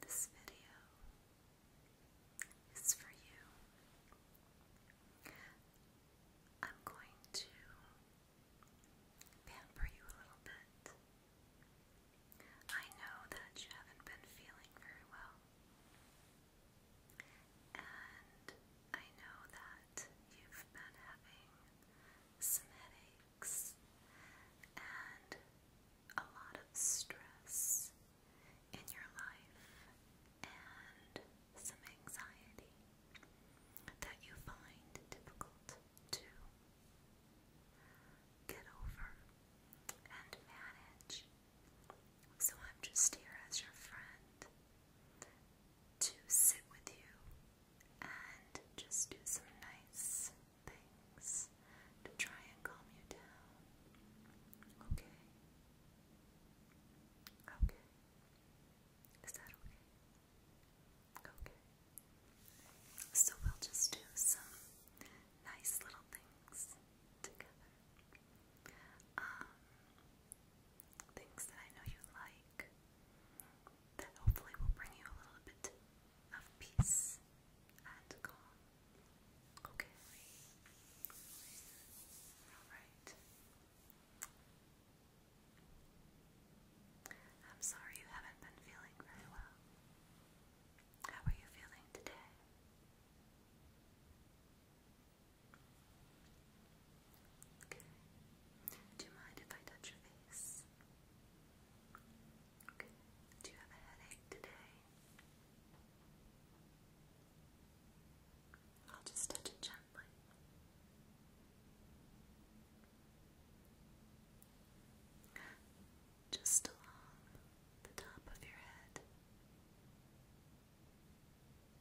This video is for you. I'm going to pamper you a little bit. I know that you haven't been feeling very well. And I know that you've been having some headaches and a lot of stress in your life and some anxiety that you find difficult to get over and manage. So I'm just here as your friend to sit with you and just do some nice things to try and calm you down. Okay? Okay. Is that okay? Okay. So we'll just do some nice little things together um, things that I know you like that hopefully will bring you a little bit of peace and calm. Okay. Alright. I'm sorry you haven't been feeling very well. How are you feeling today? Okay. Do you mind if I touch your face? Do you have a headache today? I'll just touch it gently. Just along the top of your head.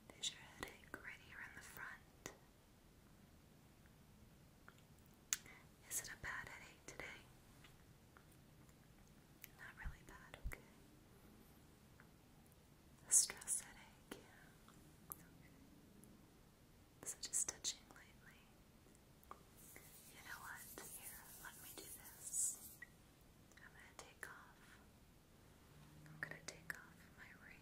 There's your headache right here in the front. Is it a bad headache today? Not really bad, okay. A stress headache, yeah. Okay. So just touching lightly. You know what? Here, let me do this. I'm gonna take off. I'm gonna take off my ring.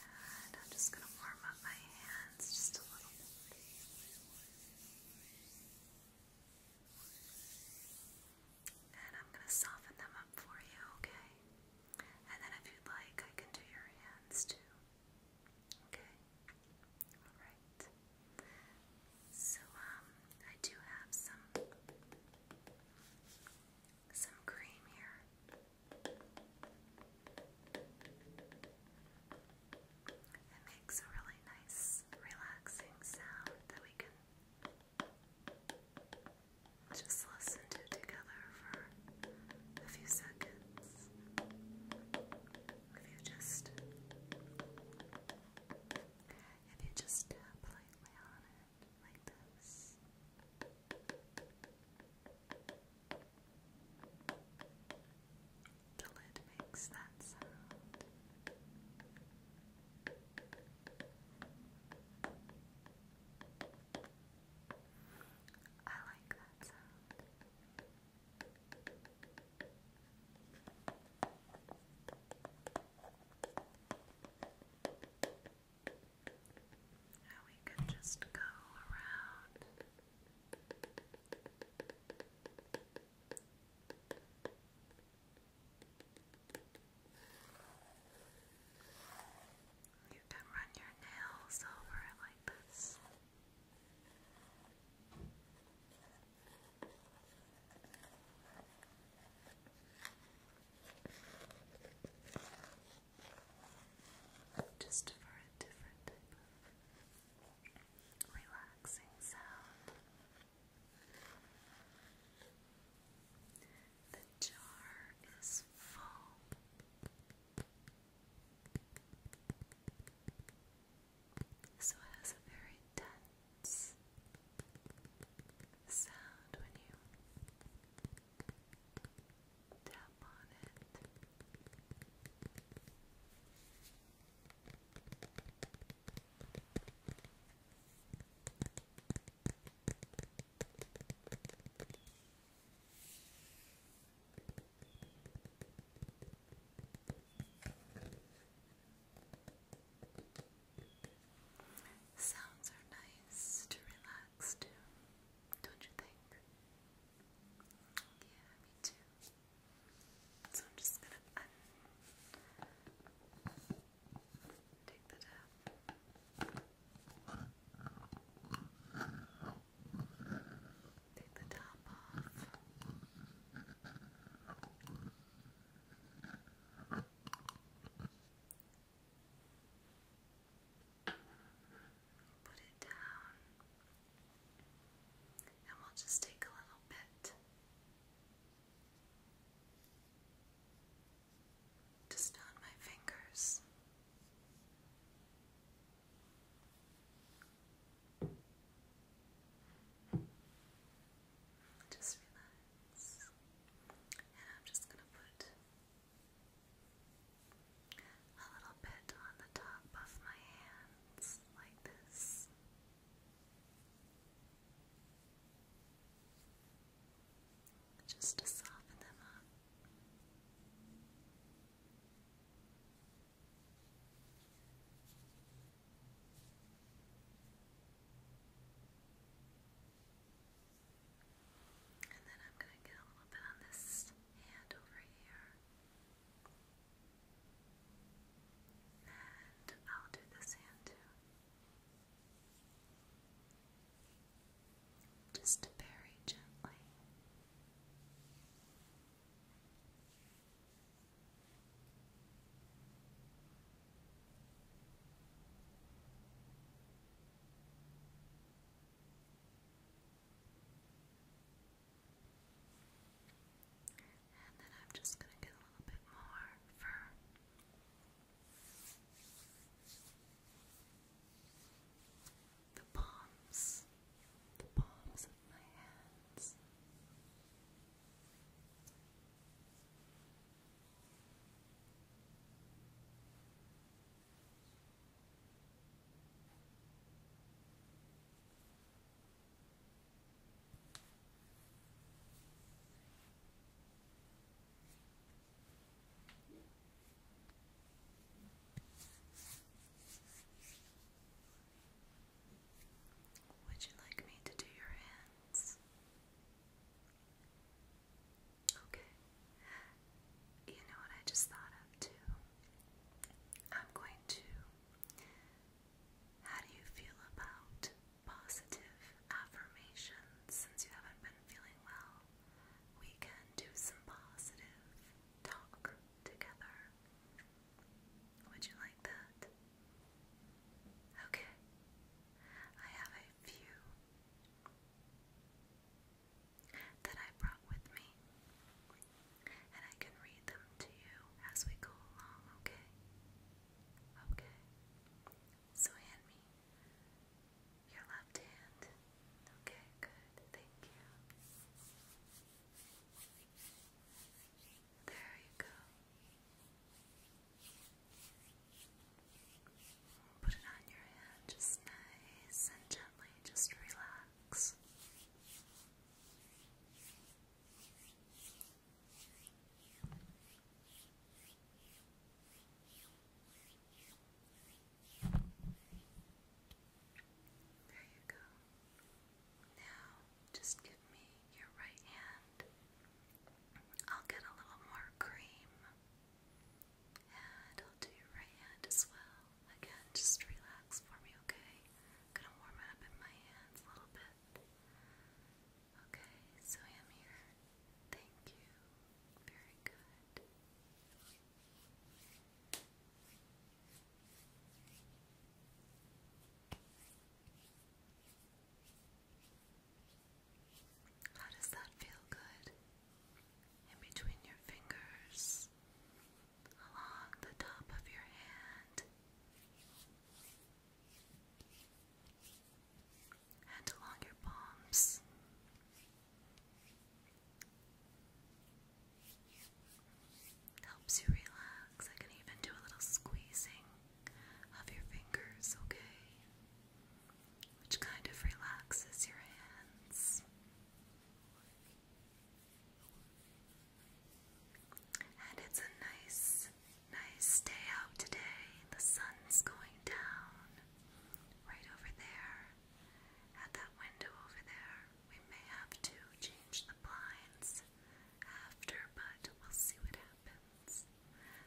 And I'm just gonna warm up my hands just a little bit and I'm gonna soften them up for you, okay? And then if you'd like, I can do your hands too. Okay? Alright. So, um, I do have some some cream here. It makes a really nice, relaxing sound that we can just listen to it together for a few seconds. If you just if you just tap lightly on it like this. The lid makes that sound. I like that sound. Now we could just go around. You can run your nails over it like this. Just for a different type of relaxing sound. The jar is full. So it has a very tense sound when you tap on it. Sounds are nice to relax to, don't you think? Yeah, me too. So I'm just gonna Take that out. Take the top Put it down. And we'll just take a little bit just on my fingers. Just relax. And I'm just going to put a little bit on the top of my hands, like this just to soften them up. And then I'm going to get a little bit on this hand over here. And I'll do this hand too. Just very gently. And then I'm just going to get a little bit more fur the palms, the palms of my hands. Would you like me to do your hands? Okay. You know what I just thought of too? I'm going to. How do you feel about positive affirmations since you haven't been feeling well. We can do some positive talk together. Would you like that? Okay. I have a few that I brought with me, and I can read them to you as we go along, okay? Okay. So hand me your left hand. Okay, good. Thank you. There you go. Put it on your hand just nice and gently. Just relax. There you go. Now, just give me your right hand. I'll get a little more cream. And I'll do your right hand as well. Again, just relax for me, okay? gonna warm it up in my hands a little bit. Okay, so I am here. Thank you. Very good. How does that feel good? In between your fingers, along the top of your hand and along your palms. Helps you relax. I can even do a little squeezing of your fingers, okay? Which kind of relaxes your hands. And it's a nice, nice day out today. The sun's going down right over there at that window over there. We may have to change the blinds after, but we'll see what happens.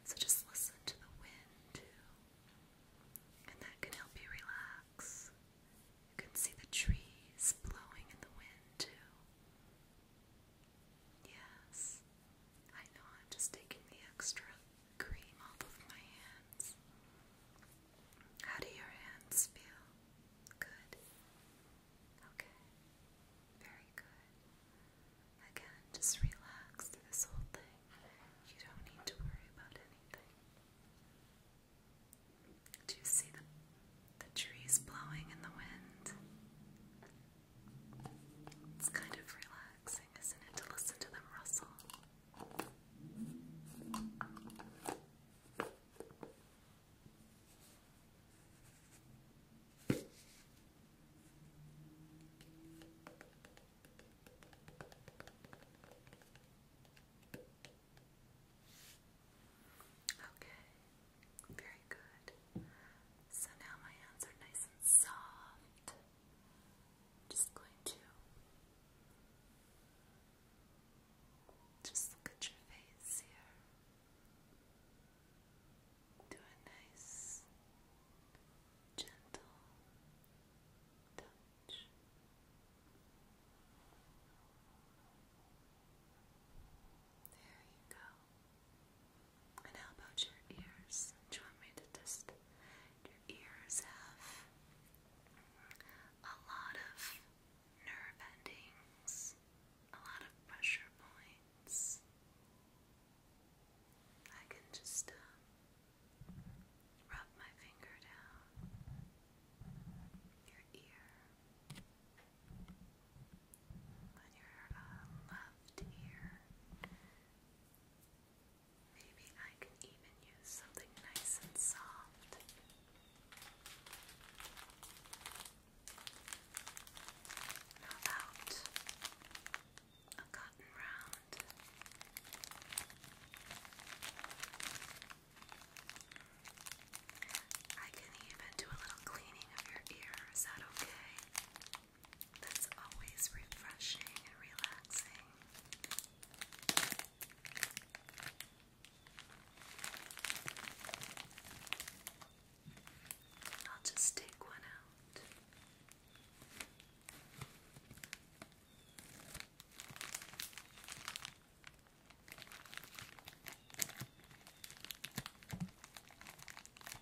So just listen to the wind too, and that can help you relax. You can see the trees blowing in the wind too. Yes. I know I'm just taking the extra cream off of my hands. How do your hands feel? Good. Okay. Very good. Again, just relax through this whole thing. You don't need to worry about anything. Do you see the, the trees blowing in the wind? It's kind of relaxing relaxing, isn't it, to listen to them rustle? Okay, very good. So now my hands are nice and soft just going to just look at your face here. Do a nice, gentle touch. There you go. And how about your ears? Do you want me to test? Your ears have a lot of nerve endings, a lot of pressure points. I can just uh, rub my finger down your ear on your uh, left ear. Maybe I can even use something nice and soft. How about a cotton round? I can even do a little cleaning of your ear. Is that okay? That's always refreshing and relaxing. I'll just take one out.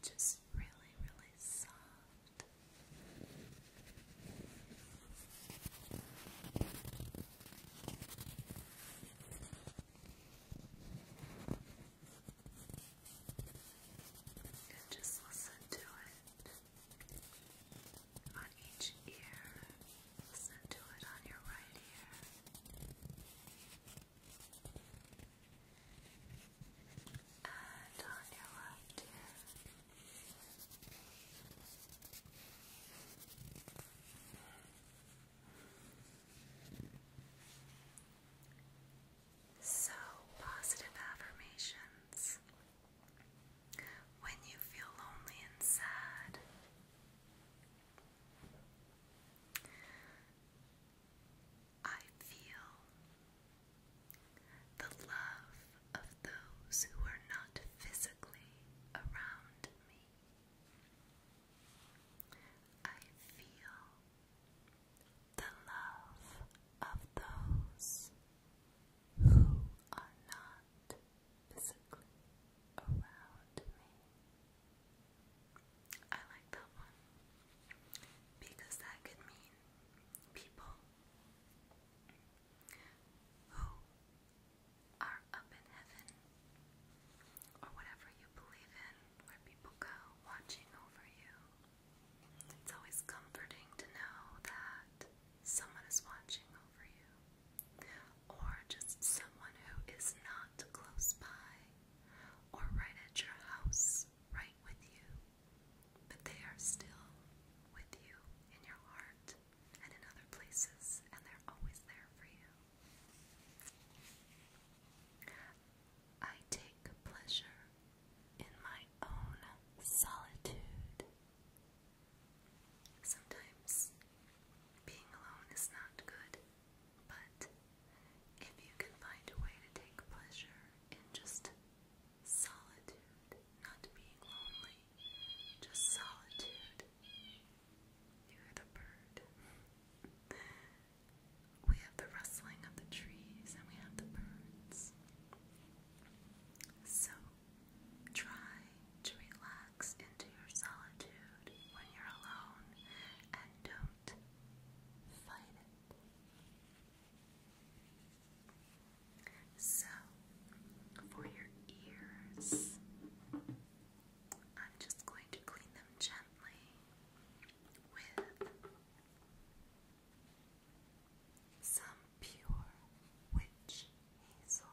which is really, really soft. And just listen to it on each ear. Listen to it on your right ear. And on your left ear. So, positive affirmations. When you feel lonely and sad, I feel the love of those who are not physically around me. I feel the love of those who are not physically around me. I like that one because that could mean people who are up in heaven or whatever you believe in, where people go watching over you. It's always comforting to know that someone is watching over you, or just someone who is not close by or right at your house, right with you, but they are still with you in your heart and in other places, and they're always there for you. I take pleasure in my own solitude. Sometimes being alone is not good. But if you can find a way to take pleasure in just solitude, not being lonely, just solitude, you're the bird. We have the rustling of the trees and we have the birds. So try to relax into your solitude when you're alone and don't so, for your ears, I'm just going to clean them gently with some pure witch hazel.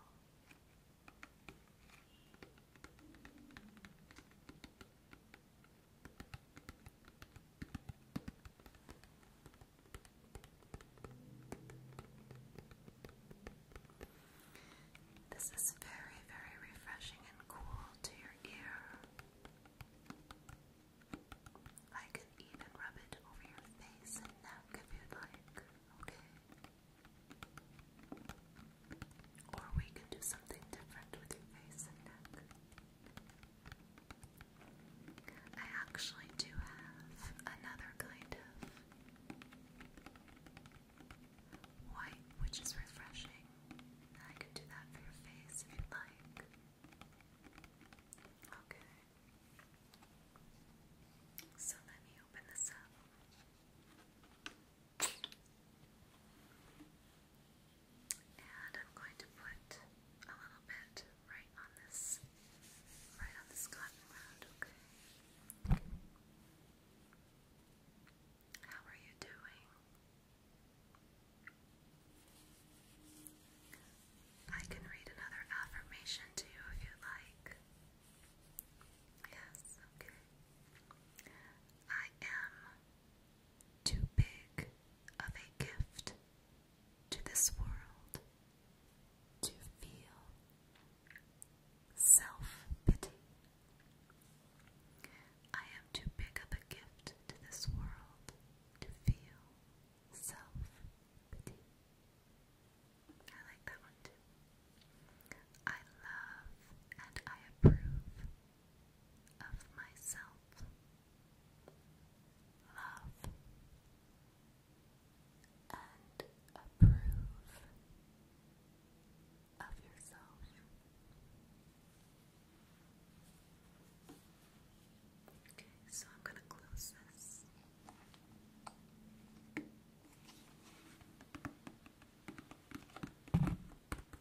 This is very, very refreshing and cool to your ear. I can even rub it over your face and neck if you like, okay? Or we can do something different with your face and neck. I actually do have another kind of white, which is refreshing. I can do that for your face if you like. Okay. So let me open this up. And I'm going to put a little bit right on this, right on this cotton round, okay? How are you doing? I can read another affirmation to you if you'd like. Yes, okay. I am too big of a gift to this world to feel self pity. I am too big of a gift to this world to feel self pity. I like that one I love and I approve of myself. Love and approve of yourself. Okay, so I'm going to close this.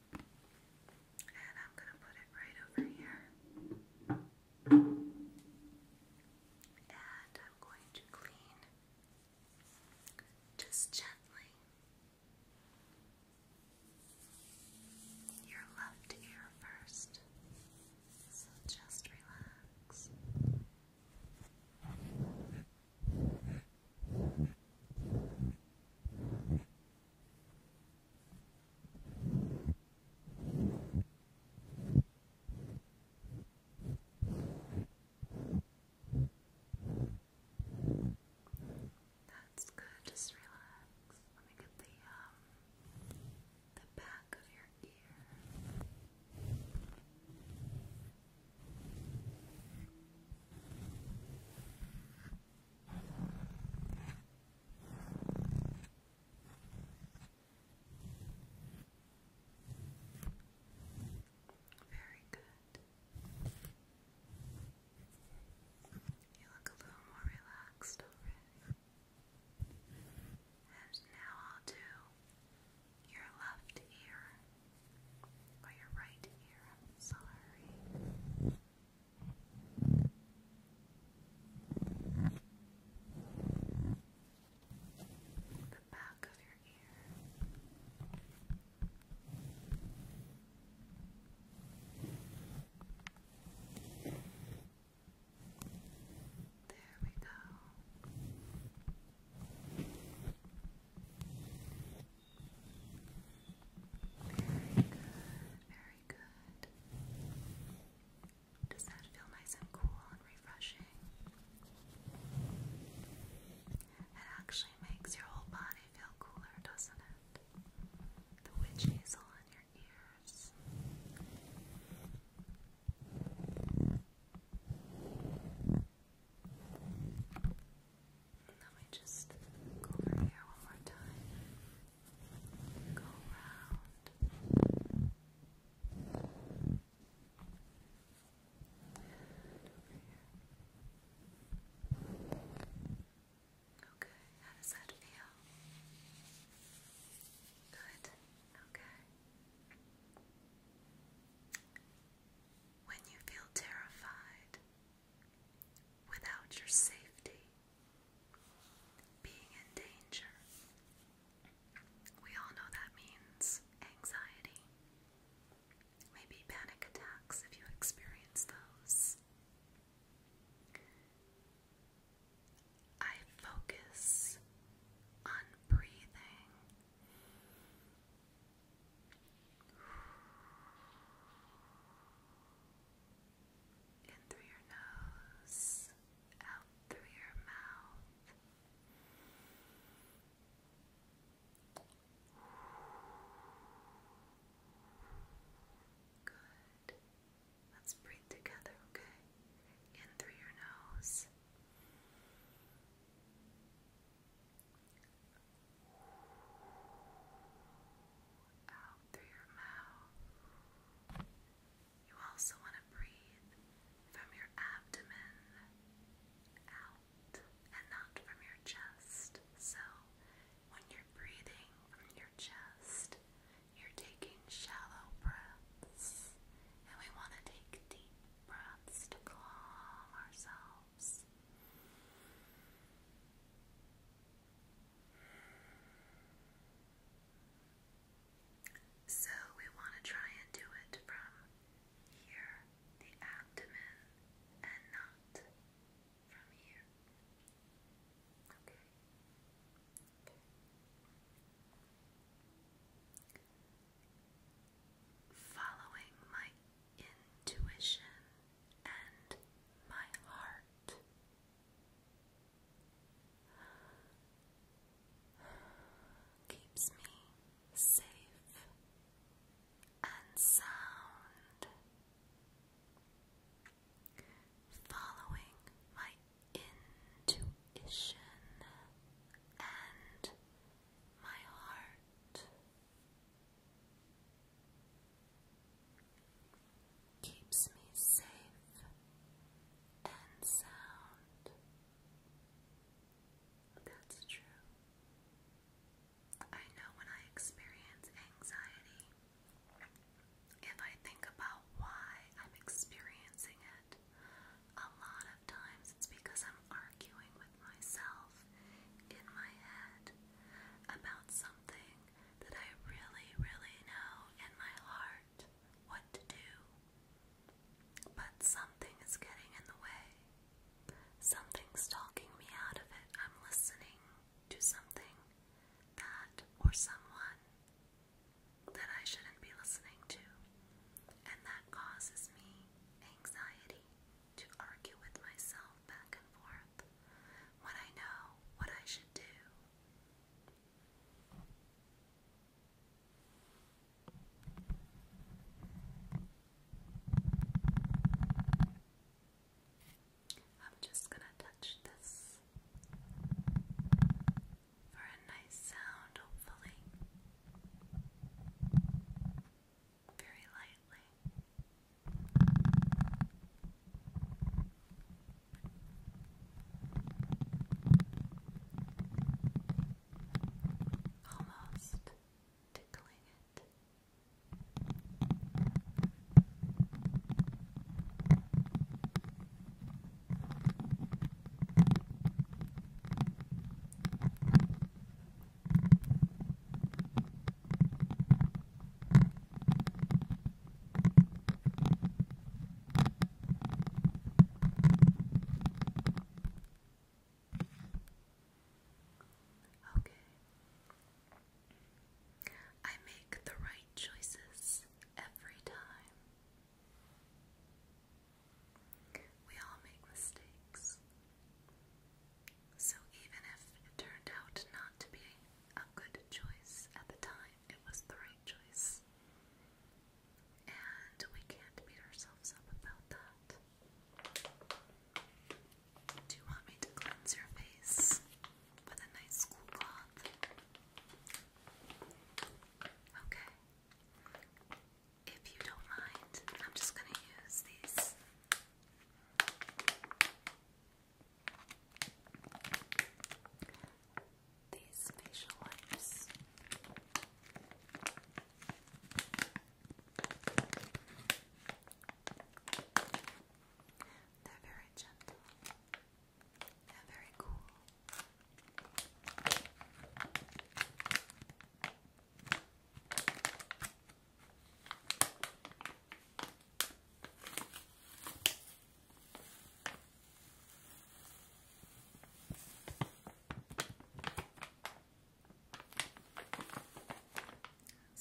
And I'm going to put it right over here. And I'm going to clean just gently your left ear first. So just relax. That's good. Just relax. Let me get the um the back of your ear. Very good. You look a little more relaxed already. And now I'll do your left ear. Oh, you right here. I'm sorry. The back of your ear. There we go. Very good, very good. Does that feel nice and cool and refreshing? It actually makes your whole body feel cooler, doesn't it? The witch hazel in your ears. Let me just go over here one more time. Go around. over here. Okay, how does that feel? Good. Okay. When you feel terrified, without your safety being in danger. We all know that means anxiety, maybe panic attacks if you experience those. I focus on breathing in through your nose, out through your mouth. Good. Let's breathe together, okay? In through your nose out through your mouth. You also want to breathe from your abdomen out and not from your chest. So, when you're breathing from your chest, you're taking shallow breaths, and we want to take deep breaths to calm ourselves ourselves. So we want to try and do it from here, the abdomen, and not from here. okay. Following my intuition and my heart. Keeps me safe and sound, following my intuition and my heart keeps me safe and sound. That's true. I know when I experience anxiety, if I think about why I'm experiencing it, a lot of times it's because I'm arguing with myself in my head about something that I really, really know in my heart what to do. But something is getting in the way. Something's talking me out of it. I'm listening to something that or someone that I shouldn't be listening to. And that causes me anxiety to argue with myself back and forth when I know what I should do. I'm just going to touch this for a nice sound, hopefully very lightly. Almost tickling it. Okay. I make the right choices every time. We all make mistakes. So even if it turned out not to be a good choice at the time, it was the right choice. And we can't beat ourselves up about that. Do you want me to cleanse your face with a nice cool cloth? Okay. If you don't mind, I'm just going to use these these facial wipes. They're very gentle. They're very cool.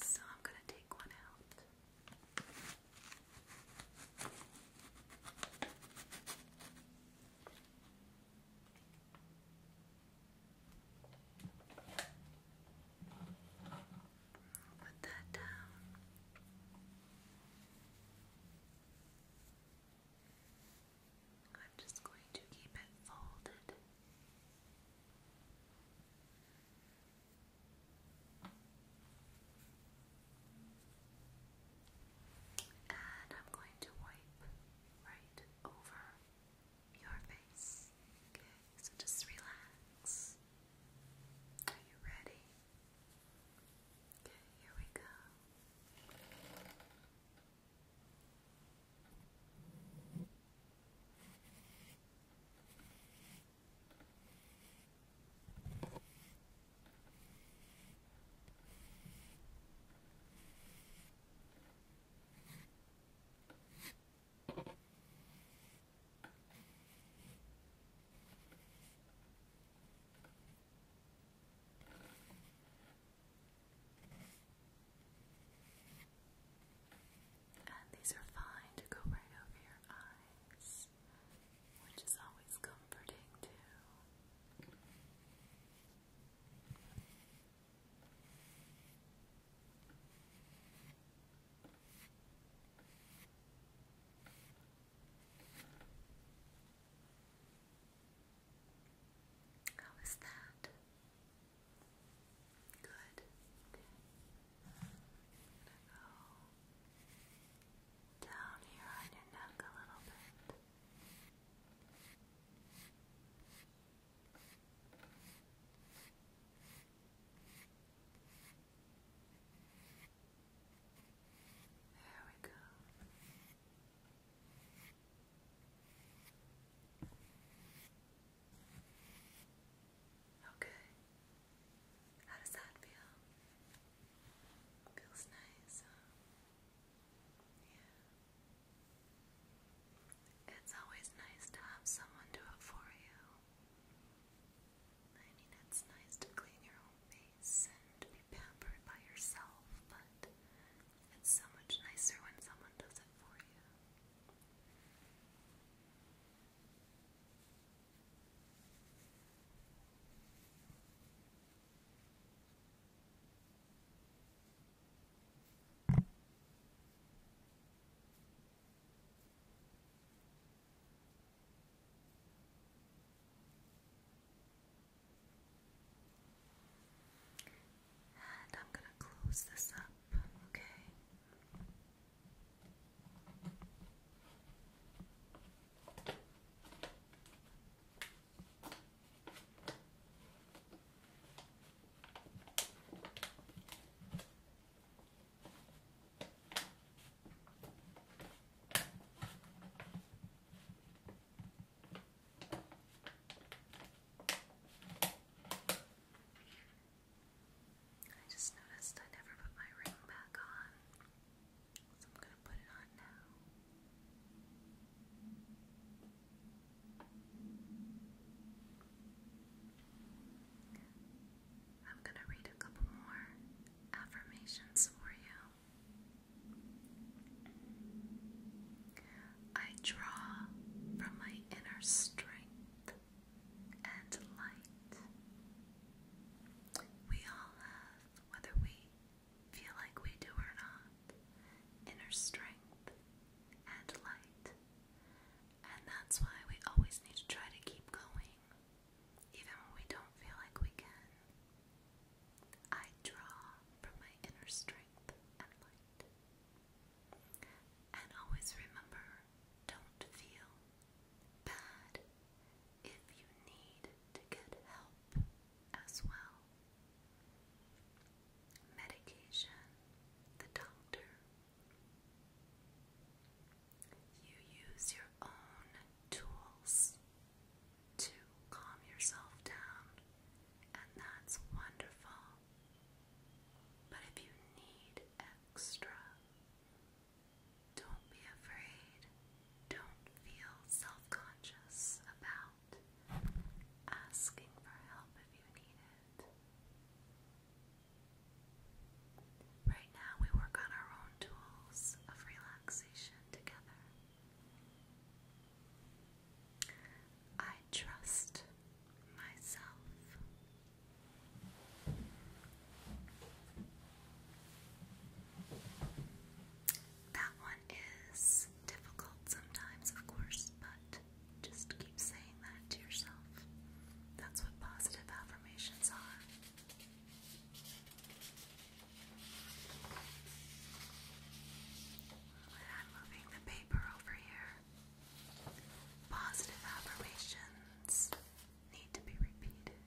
So I'm going to take one out put that down. I'm just going to keep it folded. And I'm going to wipe right over your face. Okay, so just relax. Are you ready? Okay, here we go. And these are fine to go right over your eyes, which is always comforting too. How is that? Good. gonna go down here on your neck a little bit. There we go. Okay. How does that feel? Feels nice. Yeah. It's always nice to have someone do it for you. I mean, it's nice to clean your own face and be pampered by yourself, but it's so much nicer when someone does it for you. And I'm going to close this up, okay? I just noticed I never put my ring back on, so I'm going to put it on now. I'm going to read a couple more affirmations for you. I draw from my inner strength and light. We all have, whether we feel like we do or not, inner strength and light. And that's why we always need to try to keep going, even when we don't feel like we can. I draw from my inner strength and light. And always remember don't feel bad if you need to get help as well. Medication, the doctor, you use your own tools to calm yourself down, and that's wonderful. But if you need extra, don't be afraid. Don't feel self conscious about asking for help if you need it. Right now, we work on our own tools of relaxation together. I trust myself. That one is difficult sometimes, of course, but just keep saying that to yourself. That's what positive affirmations are. I'm moving the paper over here. Positive affirmations need to be repeated.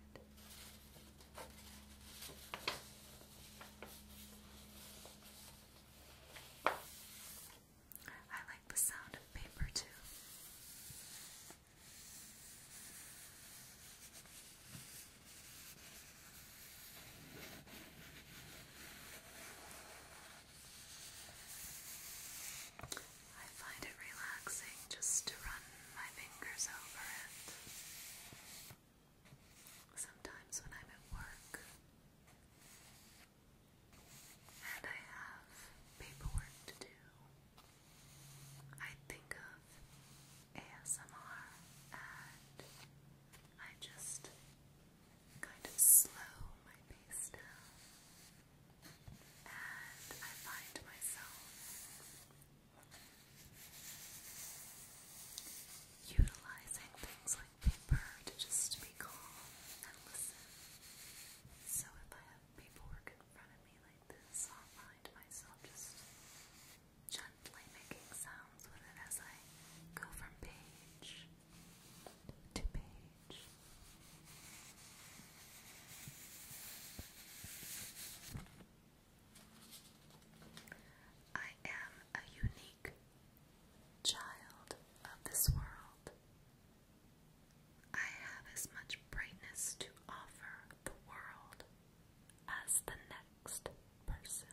I like the sound of paper too. I find it relaxing just to run my fingers over it. Sometimes when I'm at work, and I have paperwork to do. I think of ASMR and I just kind of slow my pace down. And I find myself utilizing things like paper to just be calm and listen. So if I have people work in front of me like this, i find myself just gently making sounds with it as I go from page to page. I am a unique child of this world. I have as much brightness to offer the world as the next person.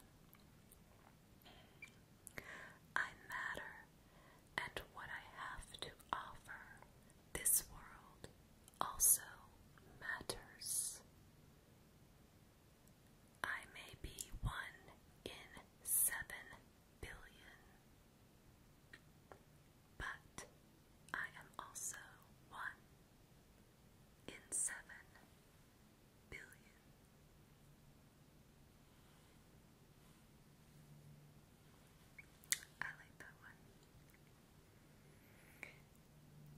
I matter, and what I have to offer this world also matters. I may be one in seven billion. But I am also one in seven billion. I like that one.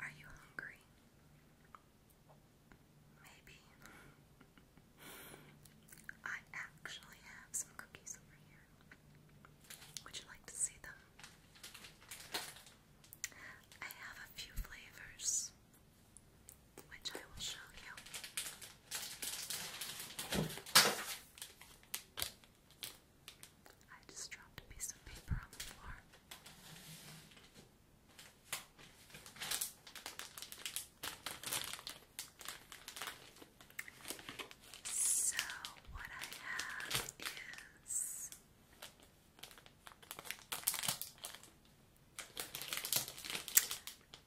Are you hungry? Maybe. I actually have some cookies over here. Would you like to see them? I have a few flavors, which I will show you. I just dropped a piece of paper on the floor. So, what I have is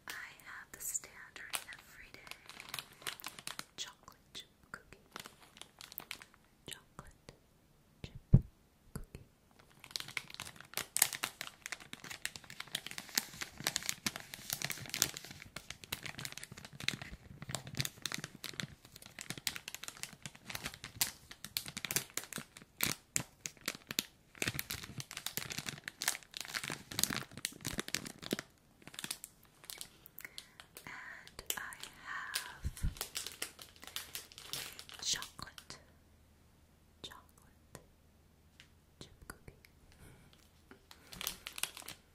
I have the standard everyday chocolate chip cookie. Chocolate chip cookie. And I have chocolate, chocolate chip cookie.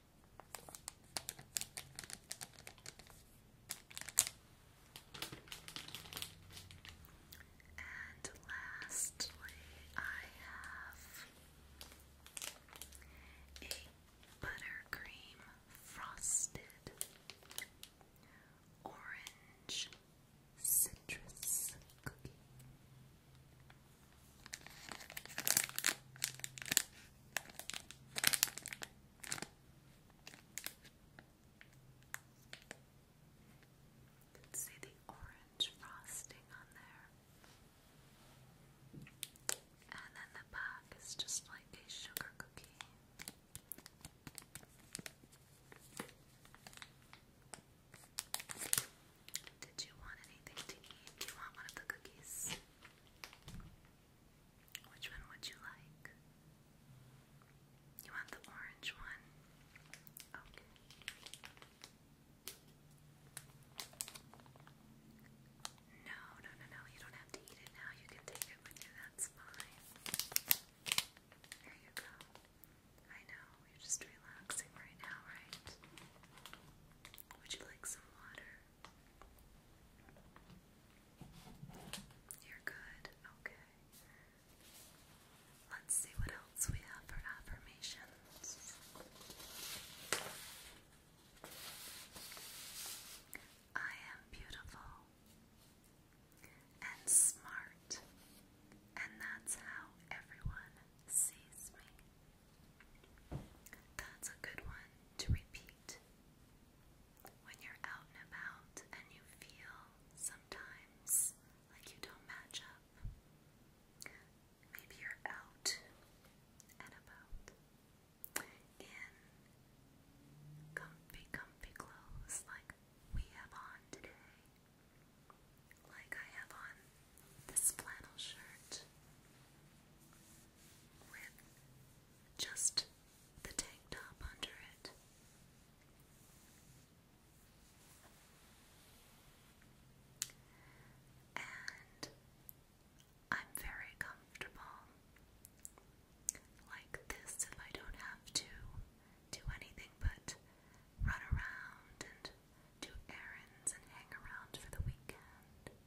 And lastly, I have a buttercream frosted orange citrus cookie. You see the orange frosting on there. And then the back is just like a sugar cookie. Did you want anything to eat? Do you want one of the cookies? Which one would you like? You want the orange one? No, no, no, no. You don't have to eat it now. You can take it with you. That's fine. There you go. I know. You're just relaxing right now, right? Would you like some water? You're good. Okay. Let's see what else we have for affirmations. I am beautiful and smart, and that's how everyone sees me. That's a good one to repeat when you're out and about and you feel sometimes like you don't match up. Maybe you're out and about in comfy, comfy clothes like we have on today. Like I have on this flannel shirt with just the tank top under it. And I'm very comfortable like this if I don't have to do anything but run around and do errands and hang around for the weekend.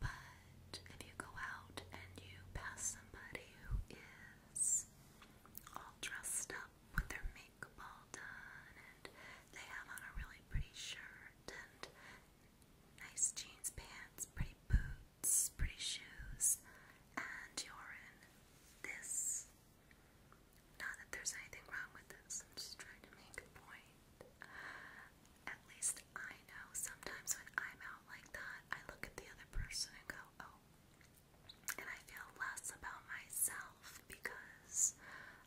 But if you go out and you pass somebody who is all dressed up with their makeup all done and they have on a really pretty shirt and nice jeans, pants, pretty boots, pretty shoes, and you're in this. Not that there's anything wrong with this, I'm just trying to make a point. At least I know sometimes when I'm out like that, I look at the other person and go, oh. And I feel less about myself because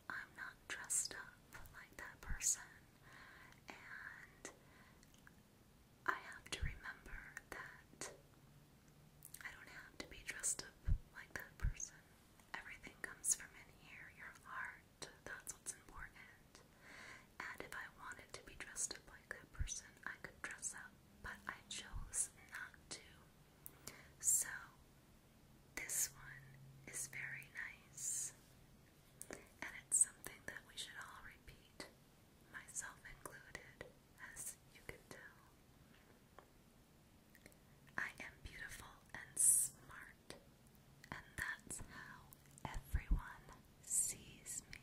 I'm not dressed up like that person. And I have to remember that I don't have to be dressed up like that person. Everything comes from in here your heart, that's what's important. And if I wanted to be dressed up like that person, I could dress up, but I chose not to. So, this one is very nice. And it's something that we should all repeat, myself included, as you can tell. I am beautiful and smart and that's how everyone sees me.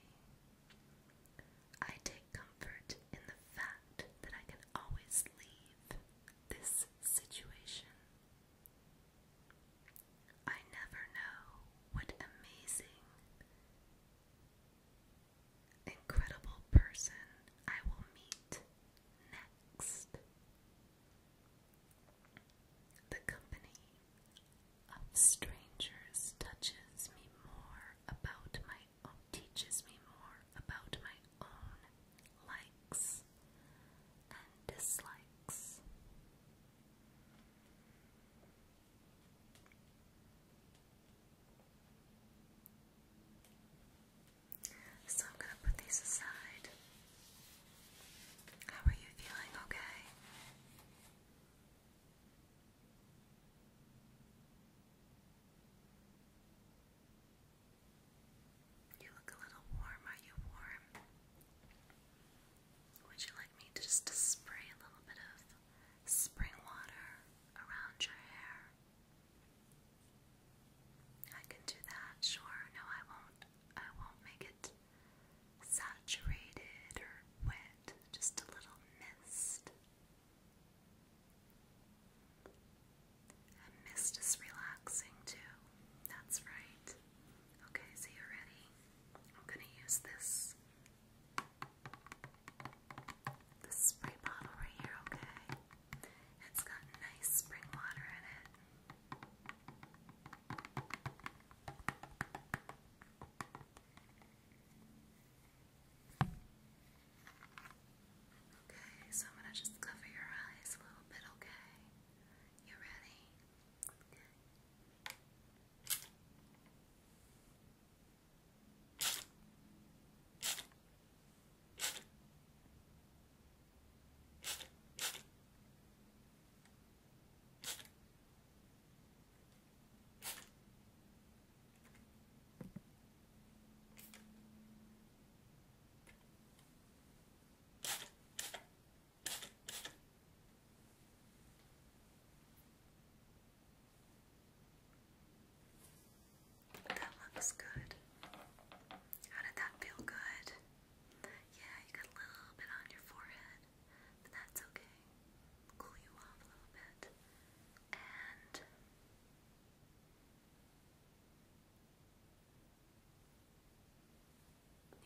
I take comfort in the fact that I can always leave this situation. I never know what amazing, incredible person I will meet next. The company of strangers touches me more about my own, teaches me more about my own likes and dislikes. So I'm going to put these aside. How are you feeling? Okay? You look a little warm. Are you warm? Would you like me to spray a little bit of spring water around your hair? I can do that, sure. No, I won't. I won't make it saturated or wet, just a little mist. mist is relaxing too. That's right. Okay, so you ready. I'm gonna use this this spray bottle right here, okay? It's got nice spring water in it. Okay, so I'm gonna just cover your eyes a little bit, okay? You ready? That looks good. How did that feel good? Yeah, you got a little bit on your forehead but that's okay. Cool you off a little bit. And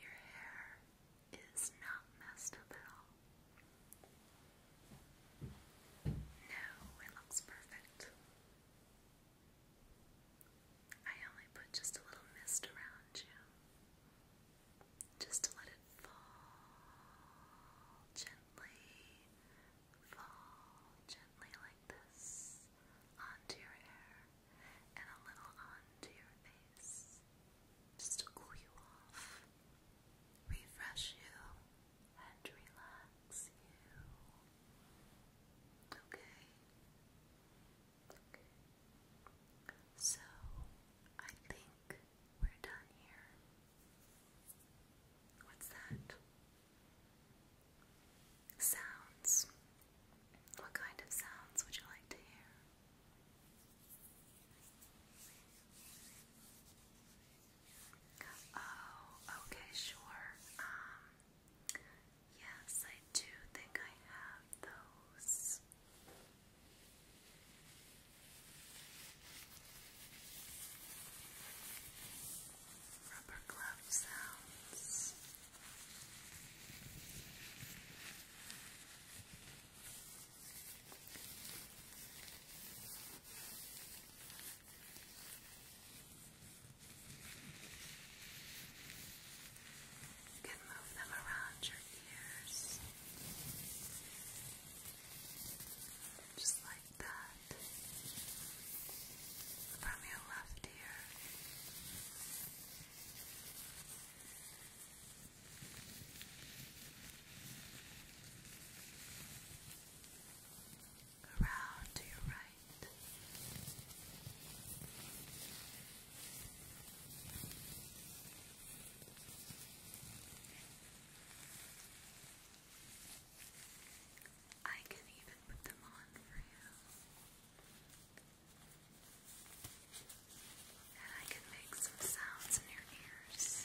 your hair is not messed at all. No, it looks perfect. I only put just a little mist around you just to let it fall gently, fall gently like this onto your hair and a little onto your face just to cool you off, refresh you, and relax you. Okay? So, I think think we're done here. What's that? Sounds. What kind of sounds would you like to hear? Oh, okay, sure. Um, yes, I do think I have those. Rubber glove sounds. You can move them around your ears. Just like that. From your left ear. Around to your right. I can even put them on for you. And I can make some sounds in your ears.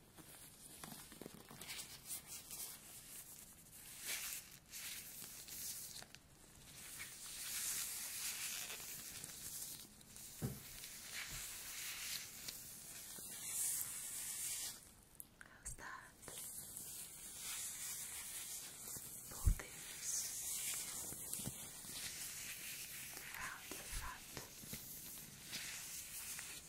How's that? Both ears round the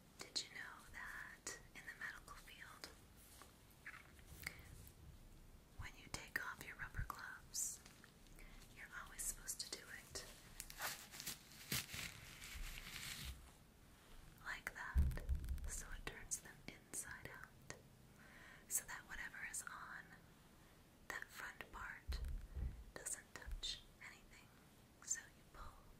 Did you know that in the medical field, when you take off your rubber gloves, you're always supposed to do it like that, so it turns them inside out, so that whatever is on that front part doesn't touch anything. So you pull